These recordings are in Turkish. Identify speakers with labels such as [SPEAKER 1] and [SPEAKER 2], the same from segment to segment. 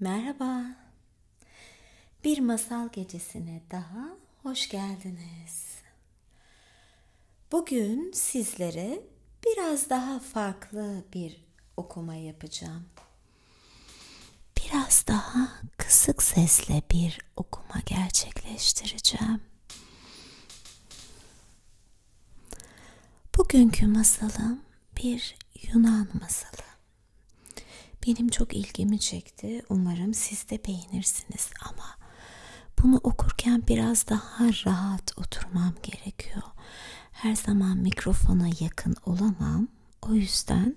[SPEAKER 1] Merhaba. Bir masal gecesine daha hoş geldiniz. Bugün sizlere biraz daha farklı bir okuma yapacağım. Biraz daha kısık sesle bir okuma gerçekleştireceğim. Bugünkü masalım bir Yunan masalı. Benim çok ilgimi çekti. Umarım siz de beğenirsiniz ama bunu okurken biraz daha rahat oturmam gerekiyor. Her zaman mikrofona yakın olamam. O yüzden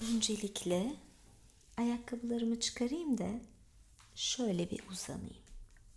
[SPEAKER 1] öncelikle ayakkabılarımı çıkarayım da şöyle bir uzanayım.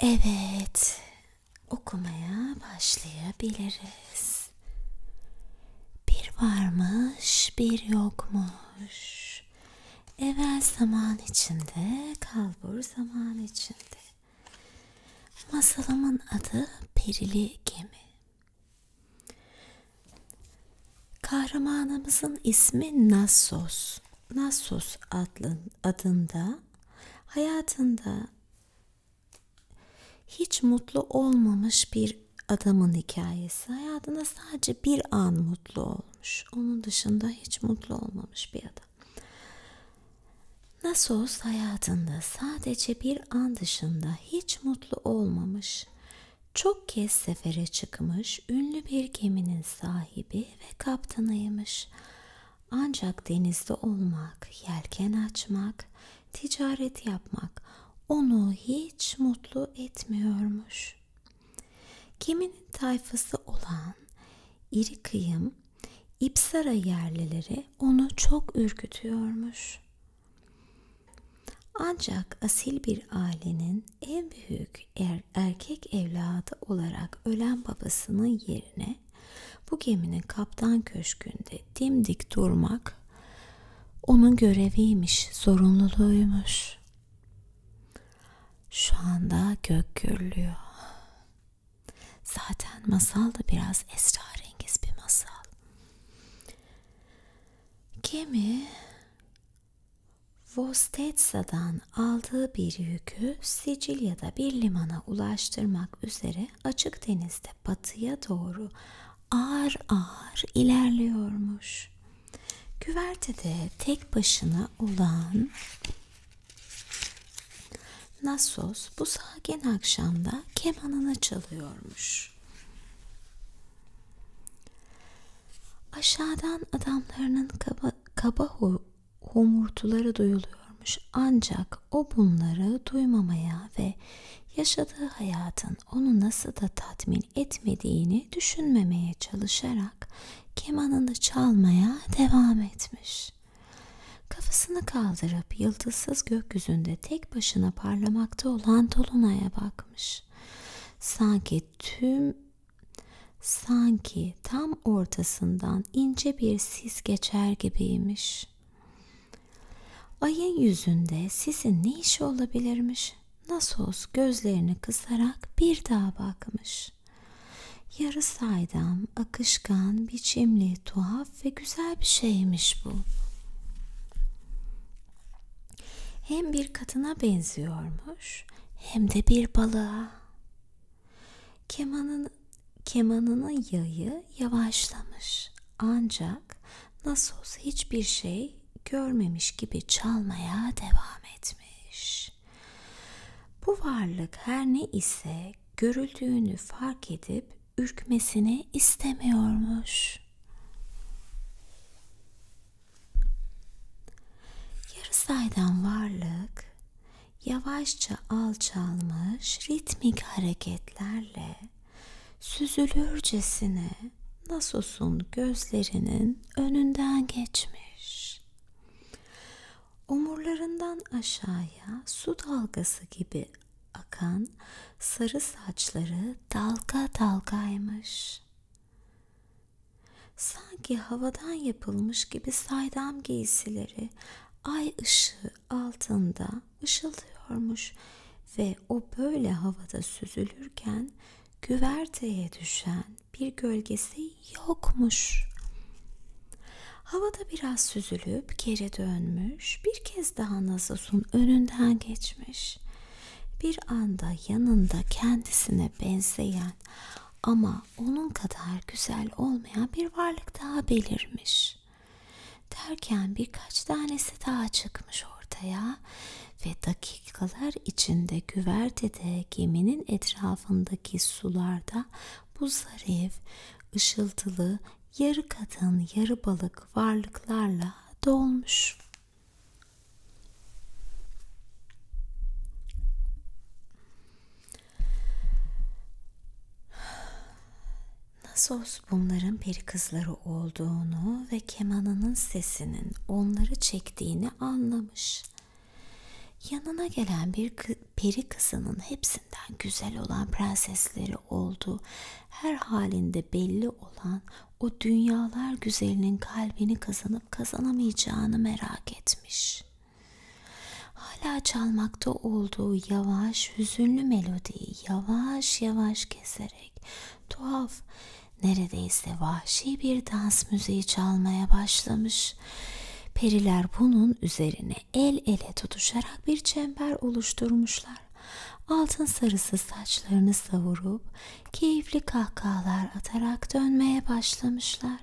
[SPEAKER 1] Evet, okumaya başlayabiliriz. Bir varmış, bir yokmuş. Evvel zaman içinde, kalbur zaman içinde. Masalımın adı Perili Gemi. Kahramanımızın ismi Nassos. Nassos adlı, adında hayatında hiç mutlu olmamış bir adamın hikayesi. Hayatında sadece bir an mutlu olmuş. Onun dışında hiç mutlu olmamış bir adam. Nasos hayatında sadece bir an dışında hiç mutlu olmamış çok kez sefere çıkmış ünlü bir geminin sahibi ve kaptanıymış. Ancak denizde olmak, yelken açmak, ticaret yapmak onu hiç mutlu etmiyormuş. Geminin tayfası olan iri kıyım İpsara yerlileri onu çok ürkütüyormuş. Ancak asil bir ailenin en büyük er, erkek evladı olarak ölen babasının yerine bu geminin kaptan köşkünde dimdik durmak onun göreviymiş, zorunluluğuymuş. Şu anda gök gürlüyor. Zaten masal da biraz esrarengiz bir masal. Gemi Vostetsa'dan aldığı bir yükü Sicilya'da bir limana ulaştırmak üzere açık denizde batıya doğru ağır ağır ilerliyormuş. Güvertede tek başına olan Nassos bu sakin akşamda kemanını çalıyormuş. Aşağıdan adamlarının kaba, kaba homurtuları duyuluyormuş ancak o bunları duymamaya ve yaşadığı hayatın onu nasıl da tatmin etmediğini düşünmemeye çalışarak kemanını çalmaya devam etmiş. Kafasını kaldırıp yıldızsız gökyüzünde tek başına parlamakta olan Dolunay'a bakmış bırakmış. Sanki tüm sanki tam ortasından ince bir sis geçer gibiymiş. Ayın yüzünde sisin ne işi olabilirmiş? Nasos gözlerini kısarak bir daha bakmış. Yarı saydam, akışkan, biçimli, tuhaf ve güzel bir şeymiş bu. Hem bir kadına benziyormuş hem de bir balığa. Kemanın, kemanının yayı yavaşlamış ancak Nasos hiçbir şey görmemiş gibi çalmaya devam etmiş. Bu varlık her ne ise görüldüğünü fark edip ürkmesini istemiyormuş. Yarı saydam varlık yavaşça alçalmış ritmik hareketlerle süzülürcesine Nasos'un gözlerinin önünden geçmiş. Omurlarından aşağıya su dalgası gibi akan sarı saçları dalga dalgaymış. Sanki havadan yapılmış gibi saydam giysileri ay ışığı altında ışıldıyormuş ve o böyle havada süzülürken güverteye düşen bir gölgesi yokmuş. Havada biraz süzülüp geri dönmüş, bir kez daha Nazos'un önünden geçmiş. Bir anda yanında kendisine benzeyen ama onun kadar güzel olmayan bir varlık daha belirmiş. Derken birkaç tanesi daha çıkmış ortaya ve dakikalar içinde güvertede geminin etrafındaki sularda bu zarif, ışıltılı, yarı kadın yarı balık varlıklarla dolmuş. Nasos bunların peri kızları olduğunu ve kemanının sesinin onları çektiğini anlamış. Yanına gelen bir peri kızının hepsinden güzel olan prensesleri üzere olduğu her halinde belli olan o dünyalar güzelinin kalbini kazanıp kazanamayacağını merak etmiş. Hala çalmakta olduğu yavaş hüzünlü melodiyi yavaş yavaş keserek tuhaf neredeyse vahşi bir dans müziği çalmaya başlamış. Periler bunun üzerine el ele tutuşarak bir çember oluşturmuşlar Altın sarısı saçlarını savurup keyifli kahkahalar atarak dönmeye başlamışlar.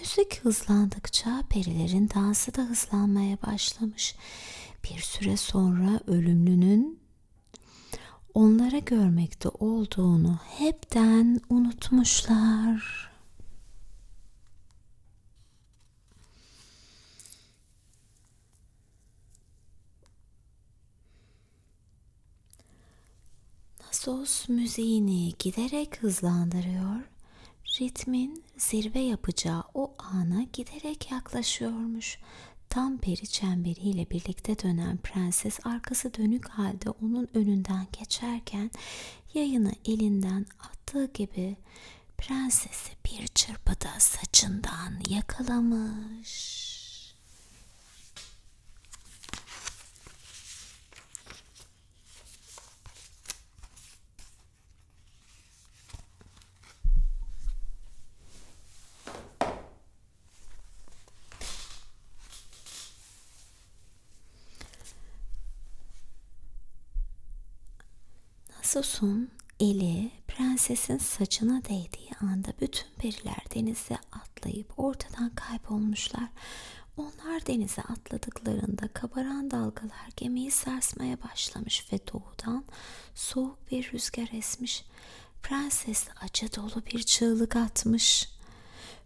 [SPEAKER 1] Müzik hızlandıkça perilerin dansı da hızlanmaya başlamış. Bir süre sonra ölümlünün onlara görmekte olduğunu hepten unutmuşlar. Nasos müziğini giderek hızlandırıyor, ritmin zirve yapacağı o ana giderek yaklaşıyormuş. Tam peri çemberiyle birlikte dönen prenses arkası dönük halde onun önünden geçerken yayını elinden attığı gibi prenses Prens'i bir çırpıda saçından yakalamış. Nasus'un eli prensesin saçına değdiği anda bütün periler denize atlayıp ortadan kaybolmuşlar. Onlar denize atladıklarında kabaran dalgalar gemiyi sarsmaya başlamış ve doğudan soğuk bir rüzgar esmiş. Prenses acı dolu bir çığlık atmış.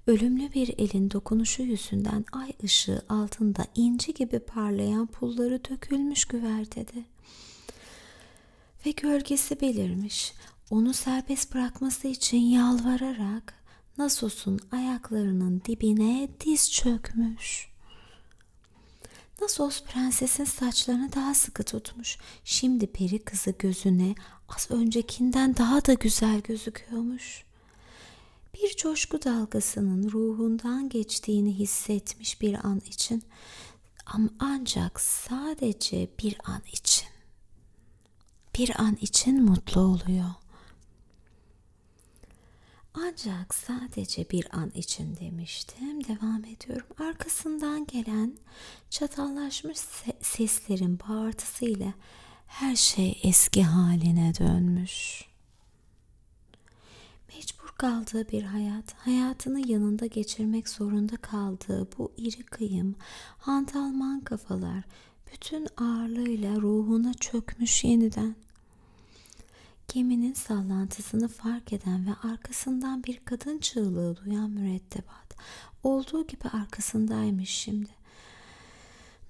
[SPEAKER 1] Ölümlü bir elin dokunuşu yüzünden ay ışığı altında inci gibi parlayan pulları dökülmüş güvertede ve gölgesi belirmiş. Onu serbest bırakması için yalvararak Nasos'un ayaklarının dibine diz çökmüş. Nasos prensesin saçlarını daha sıkı tutmuş. Şimdi peri kızı gözüne az öncekinden daha da güzel gözüküyormuş. Bir coşku dalgasının ruhundan geçtiğini hissetmiş bir an için ama ancak sadece bir an için. Bir an için mutlu oluyor. Ancak sadece bir an için demiştim. Devam ediyorum. Arkasından gelen çatallaşmış seslerin bağırtısıyla her şey eski haline dönmüş. Mecbur kaldığı bir hayat, hayatını yanında geçirmek zorunda kaldığı bu iri kıyım, hantalman kafalar bütün ağırlığıyla ruhuna çökmüş yeniden. Geminin sallantısını fark eden ve arkasından bir kadın çığlığı duyan mürettebat olduğu gibi arkasındaymış şimdi.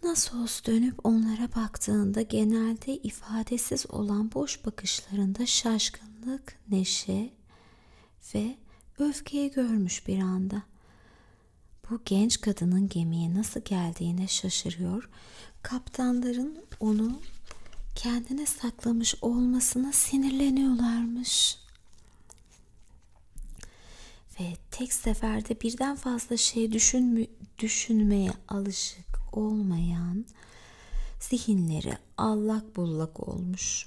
[SPEAKER 1] Nasos dönüp onlara baktığında genelde ifadesiz olan boş bakışlarında şaşkınlık aşk, neşe ve öfkeyi görmüş bir anda. Bu genç kadının gemiye nasıl geldiğine şaşırıyor. Kaptanların onu kendine saklamış olmasına sinirleniyorlarmış. Ve tek seferde birden fazla şey düşünmü, düşünmeye alışık olmayan zihinleri allak bullak olmuş.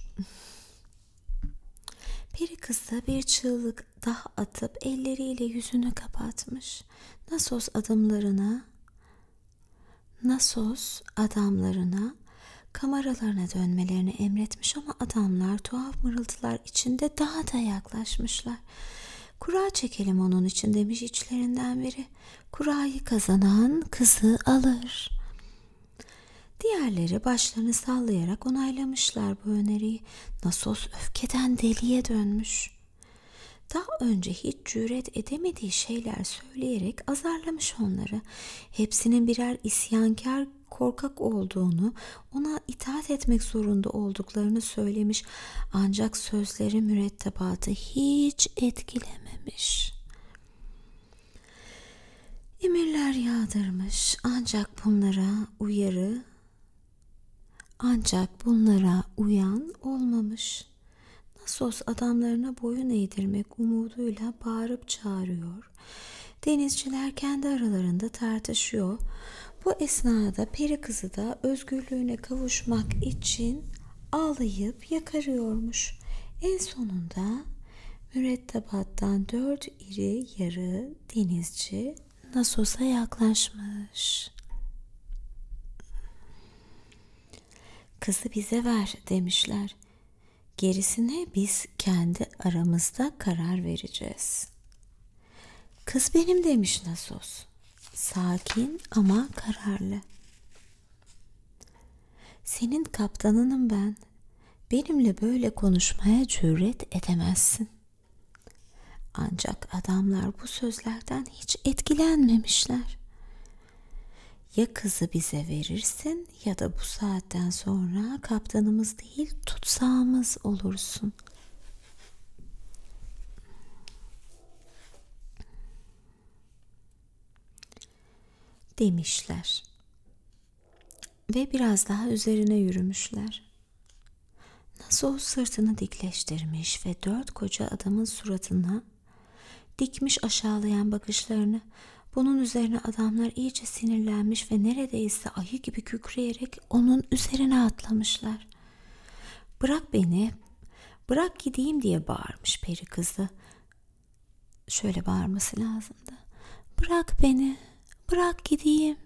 [SPEAKER 1] Peri kızı bir çığlık daha atıp elleriyle yüzünü kapatmış. Nasos adımlarına, Nasos adamlarına kameralarına dönmelerini emretmiş ama adamlar tuhaf mırıltılar içinde daha da yaklaşmışlar. Kura çekelim onun için demiş içlerinden biri kurayı kazanan kızı alır. Diğerleri başlarını sallayarak onaylamışlar bu öneriyi. Nasos öfkeden deliye dönmüş. Daha önce hiç cüret edemediği şeyler söyleyerek azarlamış onları. Hepsinin birer isyankar korkak olduğunu, ona itaat etmek zorunda olduklarını söylemiş ancak sözleri mürettebatı hiç etkilememiş. Emirler yağdırmış ancak bunlara uyarı ancak bunlara uyan olmamış. Nasos adamlarına boyun eğdirmek umuduyla bağırıp çağırıyor. Denizciler kendi aralarında tartışıyor. Bu esnada peri kızı da özgürlüğüne kavuşmak için ağlayıp yakıp yakarıyormuş. En sonunda mürettebattan dört iri yarı denizci Nasos'a yaklaşmış. Kızı bize ver demişler. Gerisine biz kendi aramızda karar vereceğiz. Kız benim demiş Nasos. Sakin ama kararlı. Senin kaptanınım ben. Benimle böyle konuşmaya cüret edemezsin. Ancak adamlar bu sözlerden hiç etkilenmemişler. Ya kızı bize verirsin ya da bu saatten sonra kaptanımız değil tutsağımız olursun demişler. Ve biraz daha üzerine yürümüşler. Nasıl sırtını dikleştirmiş ve dört koca adamın suratına dikmiş aşağılayan bakışlarını bunun üzerine adamlar iyice sinirlenmiş ve neredeyse ayı gibi kükreyerek onun üzerine atlamışlar. Bırak beni, bırak gideyim diye bağırmış peri kızı. Şöyle bağırması lazımdı. Bırak beni, bırak gideyim.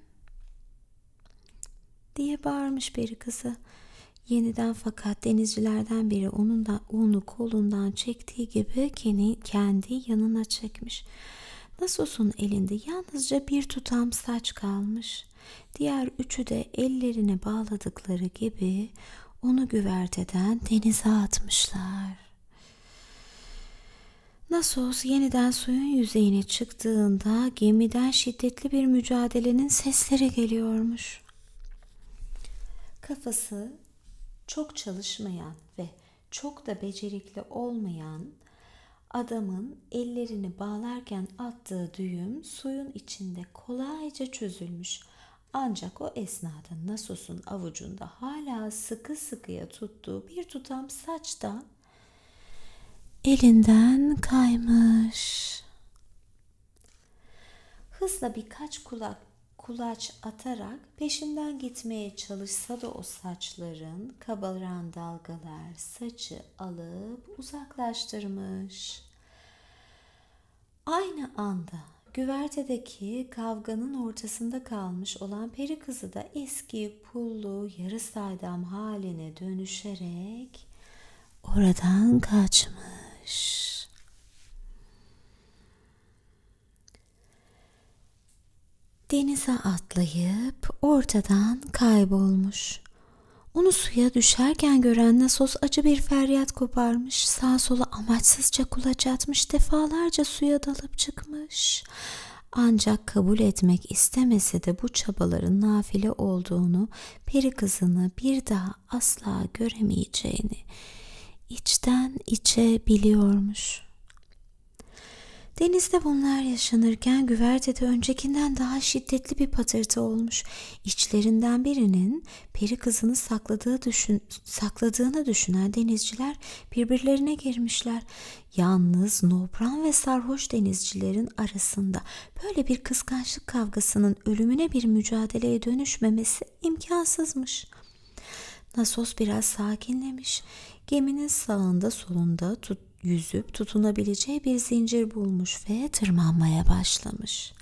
[SPEAKER 1] Diye bağırmış peri kızı. Yeniden fakat denizcilerden biri onun da onu kolundan çektiği gibi kendi, kendi yanına çekmiş. Nasos'un elinde yalnızca bir tutam saç kalmış. Diğer üçü de ellerine bağladıkları gibi onu güverteden denize atmışlar. Nasos yeniden suyun yüzeyine çıktığında gemiden şiddetli bir mücadelenin sesleri geliyormuş. Kafası çok çalışmayan ve çok da becerikli olmayan adamın ellerini bağlarken attığı düğüm suyun içinde kolayca çözülmüş ancak o esnada Nasos'un avucunda hala sıkı sıkıya tuttuğu bir tutam saç da elinden kaymış. Hızla birkaç kulak kulaç atarak peşinden gitmeye çalışsa da o saçların kabaran dalgalar saçı alıp uzaklaştırmış. Aynı anda güvertedeki kavganın ortasında kalmış olan peri kızı da eski pullu yarı saydam haline dönüşerek oradan kaçmış. Denize atlayıp ortadan kaybolmuş. Onu suya düşerken gören Nasos acı bir feryat kıyamet koparmış, sağ sola amaçsızca kulaç atmış, defalarca suya dalıp çıkmış. Ancak kabul etmek istemese de bu çabaların nafile olduğunu, peri kızını bir daha asla göremeyeceğini içten içe biliyormuş. Denizde bunlar yaşanırken güvertede öncekinden daha şiddetli bir patırtı olmuş. İçlerinden birinin peri kızını sakladığı düşün, sakladığını düşünen denizciler birbirlerine girmişler. Yalnız nobran ve sarhoş denizcilerin arasında böyle bir kıskançlık kavgasının ölümüne bir mücadeleye dönüşmemesi imkansızmış. Nasos biraz sakinlemiş. Geminin sağında solunda tut, yüzüp tutunabileceği bir zincir bulmuş ve tırmanmaya başlamış.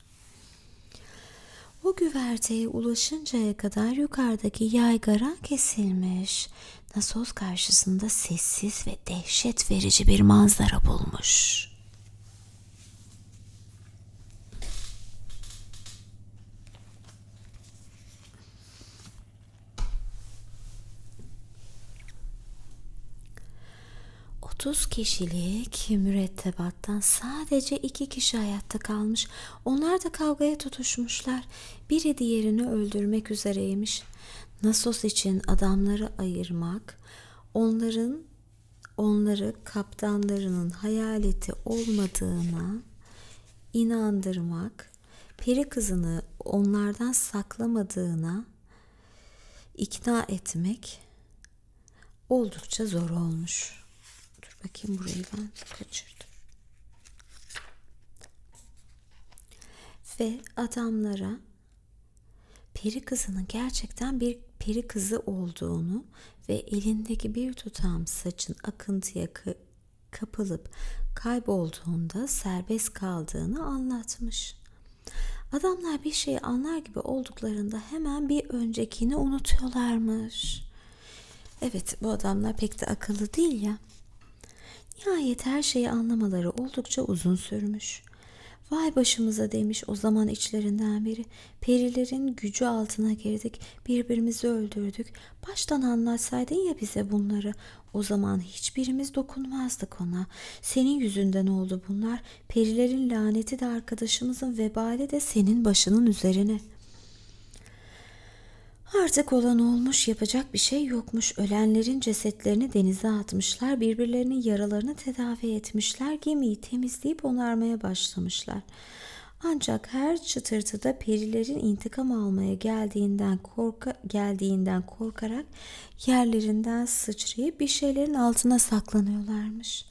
[SPEAKER 1] O güverteye ulaşıncaya kadar yukarıdaki yaygara kesilmiş. Nasos karşısında sessiz ve dehşet verici bir manzara bulmuş. 30 kişilik mürettebattan sadece iki kişi hayatta kalmış. Onlar da kavgaya tutuşmuşlar. Biri diğerini öldürmek üzereymiş. Nasos için adamları ayırmak, onların onları kaptanlarının hayaleti olmadığına inandırmak, peri kızını onlardan saklamadığına ikna etmek oldukça zor olmuş. Dur bakayım burayı ben kaçırdım. Ve adamlara peri kızının gerçekten bir peri kızı olduğunu ve elindeki bir tutam saçın akıntıya kapılıp kaybolduğunda serbest kaldığını anlatmış. Adamlar bir şeyi anlar Anlar gibi olduklarında hemen bir öncekini unutuyorlarmış. Evet bu adamlar pek de akıllı değil ya. Nihayet her şeyi anlamaları oldukça uzun sürmüş. Vay başımıza demiş o zaman içlerinden biri. Perilerin gücü altına girdik, birbirimizi öldürdük. Baştan anlatsaydın ya bize bunları. O zaman hiçbirimiz dokunmazdık ona. Senin yüzünden oldu bunlar. Perilerin laneti de arkadaşımızın vebali de senin başının üzerine. Artık olan olmuş yapacak bir şey yokmuş. Ölenlerin cesetlerini denize atmışlar, birbirlerinin yaralarını tedavi etmişler, gemiyi temizleyip onarmaya başlamışlar. Ancak her çıtırtıda perilerin intikam almaya geldiğinden korka geldiğinden korkarak yerlerinden sıçrayıp bir şeylerin altına saklanıyorlarmış.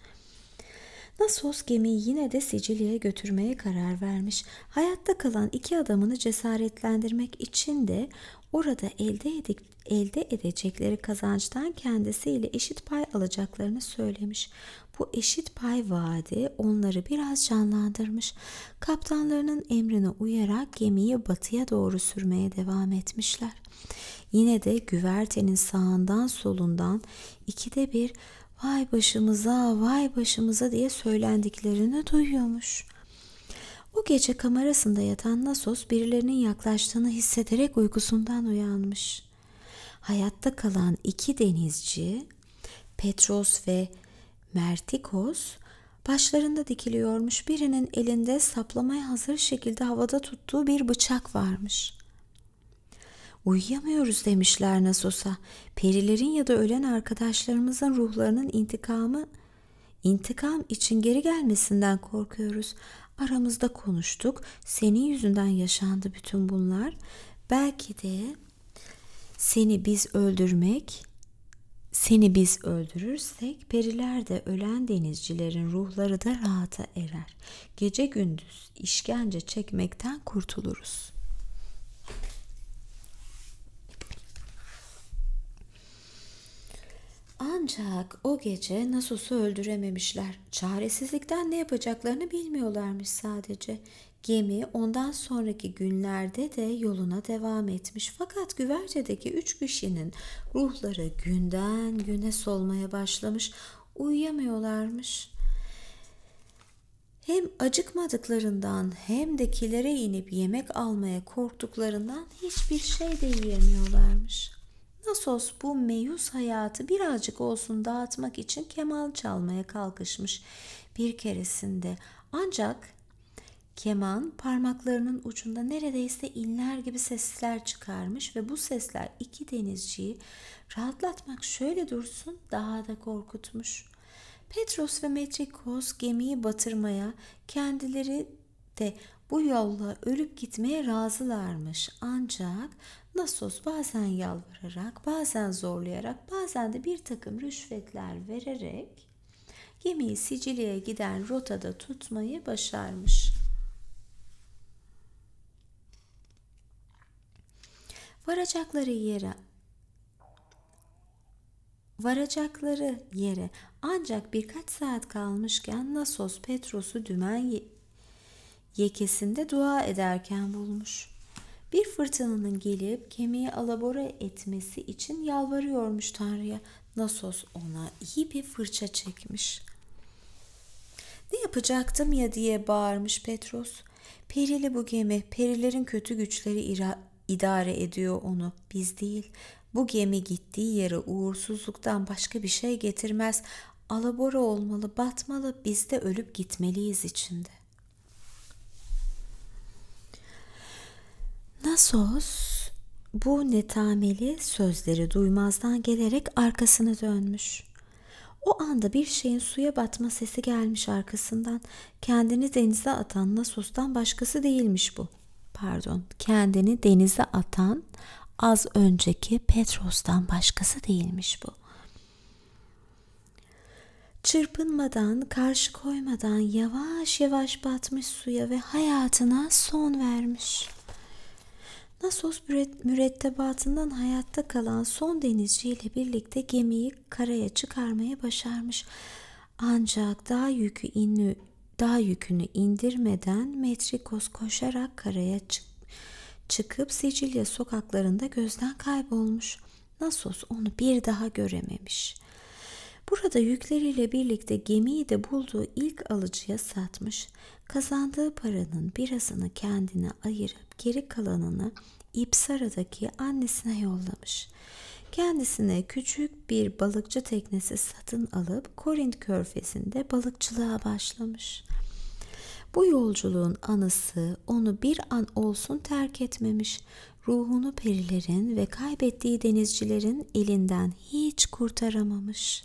[SPEAKER 1] Nasos gemiyi yine de Sicilya'ya götürmeye karar vermiş. Hayatta kalan iki adamını cesaretlendirmek için de orada elde, edik, elde edecekleri kazançtan kendisiyle eşit pay alacaklarını söylemiş. Bu eşit pay vaadi onları biraz canlandırmış. Kaptanlarının emrine uyarak gemiyi batıya doğru sürmeye devam etmişler. Yine de güvertenin sağından solundan ikide bir vay başımıza vay başımıza diye söylendiklerini duyuyormuş. O gece kamerasında yatan Nasos birilerinin yaklaştığını hissederek uykusundan uyanmış. Hayatta kalan iki denizci Petros ve Mertikos başlarında dikiliyormuş birinin elinde saplamaya hazır şekilde havada tuttuğu bir bıçak varmış. Uyuyamıyoruz demişler Nasos'a. Perilerin ya da ölen arkadaşlarımızın ruhlarının intikamı intikam için geri gelmesinden korkuyoruz. Aramızda konuştuk. Senin yüzünden yaşandı bütün bunlar. Belki de seni biz öldürmek seni biz öldürürsek periler de ölen denizcilerin ruhları da rahata erer. Gece gündüz işkence çekmekten kurtuluruz. Ancak o gece Nasus'u öldürememişler. Çaresizlikten ne yapacaklarını bilmiyorlarmış sadece. Gemi ondan sonraki günlerde de yoluna devam etmiş. Fakat güvertedeki üç kişinin ruhları günden güne solmaya başlamış uyuyamıyorlarmış. Hem acıkmadıklarından hem de kilere inip yemek almaya korktuklarından hiçbir şey de yiyemiyorlarmış. Nasos bu meyus hayatı birazcık olsun dağıtmak için keman çalmaya kalkışmış bir keresinde. Ancak keman parmaklarının ucunda neredeyse inler gibi sesler çıkarmış ve bu sesler iki denizciyi Rahatlatmak şöyle dursun daha da korkutmuş. Petros ve Metrikos gemiyi batırmaya, kendileri de bu yolla ölüp gitmeye razılarmış. Ancak Nasos bazen yalvararak, bazen zorlayarak, bazen de bir takım rüşvetler vererek gemiyi Sicilya'ya giden rotada tutmayı başarmış. Varacakları yere Varacakları yere ancak birkaç saat kalmışken Nasos Petros'u dümen ye yekesinde dua ederken bulmuş. Bir fırtınanın gelip kemiği alabora etmesi için yalvarıyormuş Tanrı'ya. Nasos ona iyi bir fırça çekmiş. Ne yapacaktım ya diye bağırmış Petros. Perili bu gemi, perilerin kötü güçleri idare ediyor onu, biz değil. Bu gemi gittiği yere uğursuzluktan başka bir şey getirmez. Alabora olmalı, batmalı, biz de ölüp gitmeliyiz içinde. Nasos bu netameli sözleri duymazdan gelerek arkasını dönmüş. O anda bir şeyin suya batma sesi gelmiş arkasından. Kendini denize atan Nasos'tan başkası değilmiş bu. Pardon, kendini denize atan az önceki Petros'tan başkası değilmiş bu. Çırpınmadan, karşı koymadan yavaş yavaş batmış suya ve hayatına son vermiş. Nasos mürettebatından hayatta kalan son denizciyle birlikte gemiyi karaya çıkarmaya başarmış. Ancak daha yükü inli dağ yükünü indirmeden Metrikos koşarak karaya çık çıkıp Sicilya sokaklarında gözden kaybolmuş. Nasos onu bir daha görememiş. Burada yükleriyle birlikte gemiyi de bulduğu ilk alıcıya satmış. Kazandığı paranın birazını kendine ayırıp geri kalanını İpsara'daki annesine yollamış. Kendisine küçük bir balıkçı teknesi satın alıp Korint körfezinde balıkçılığa başlamış. Bu yolculuğun anısı onu bir an olsun terk etmemiş. Ruhunu perilerin ve kaybettiği denizcilerin elinden hiç kurtaramamış.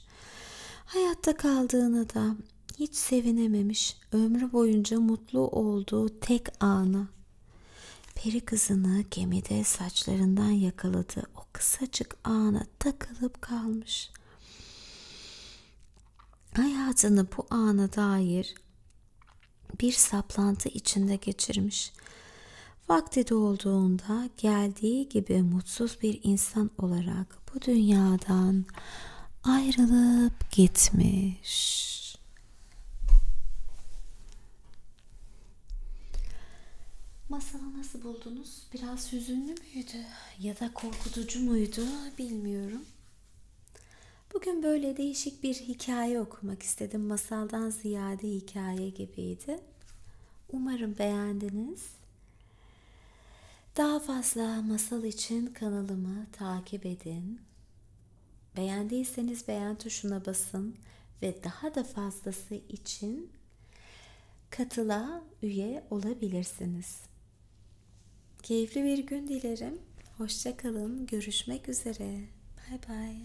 [SPEAKER 1] Hayatta kaldığını da hiç sevinememiş, ömrü boyunca mutlu olduğu tek anı. Peri kızını gemide saçlarından yakaladığı o kısacık ana takılıp kalmış. Hayatını bu ana dair bir saplantı içinde geçirmiş. Vakti dolduğunda geldiği gibi mutsuz bir insan insan olarak bu dünyadan ayrılıp gitmiş. Masalı nasıl buldunuz? Biraz hüzünlü müydü ya da korkutucu muydu bilmiyorum. Bugün böyle değişik bir hikaye okumak istedim. Masaldan ziyade hikaye gibiydi. Umarım beğendiniz. Daha fazla masal için kanalımı takip edin. Beğendiyseniz beğen tuşuna basın ve daha da fazlası için katıla üye olabilirsiniz. Keyifli bir gün dilerim. Hoşçakalın. Görüşmek üzere. Bay bay.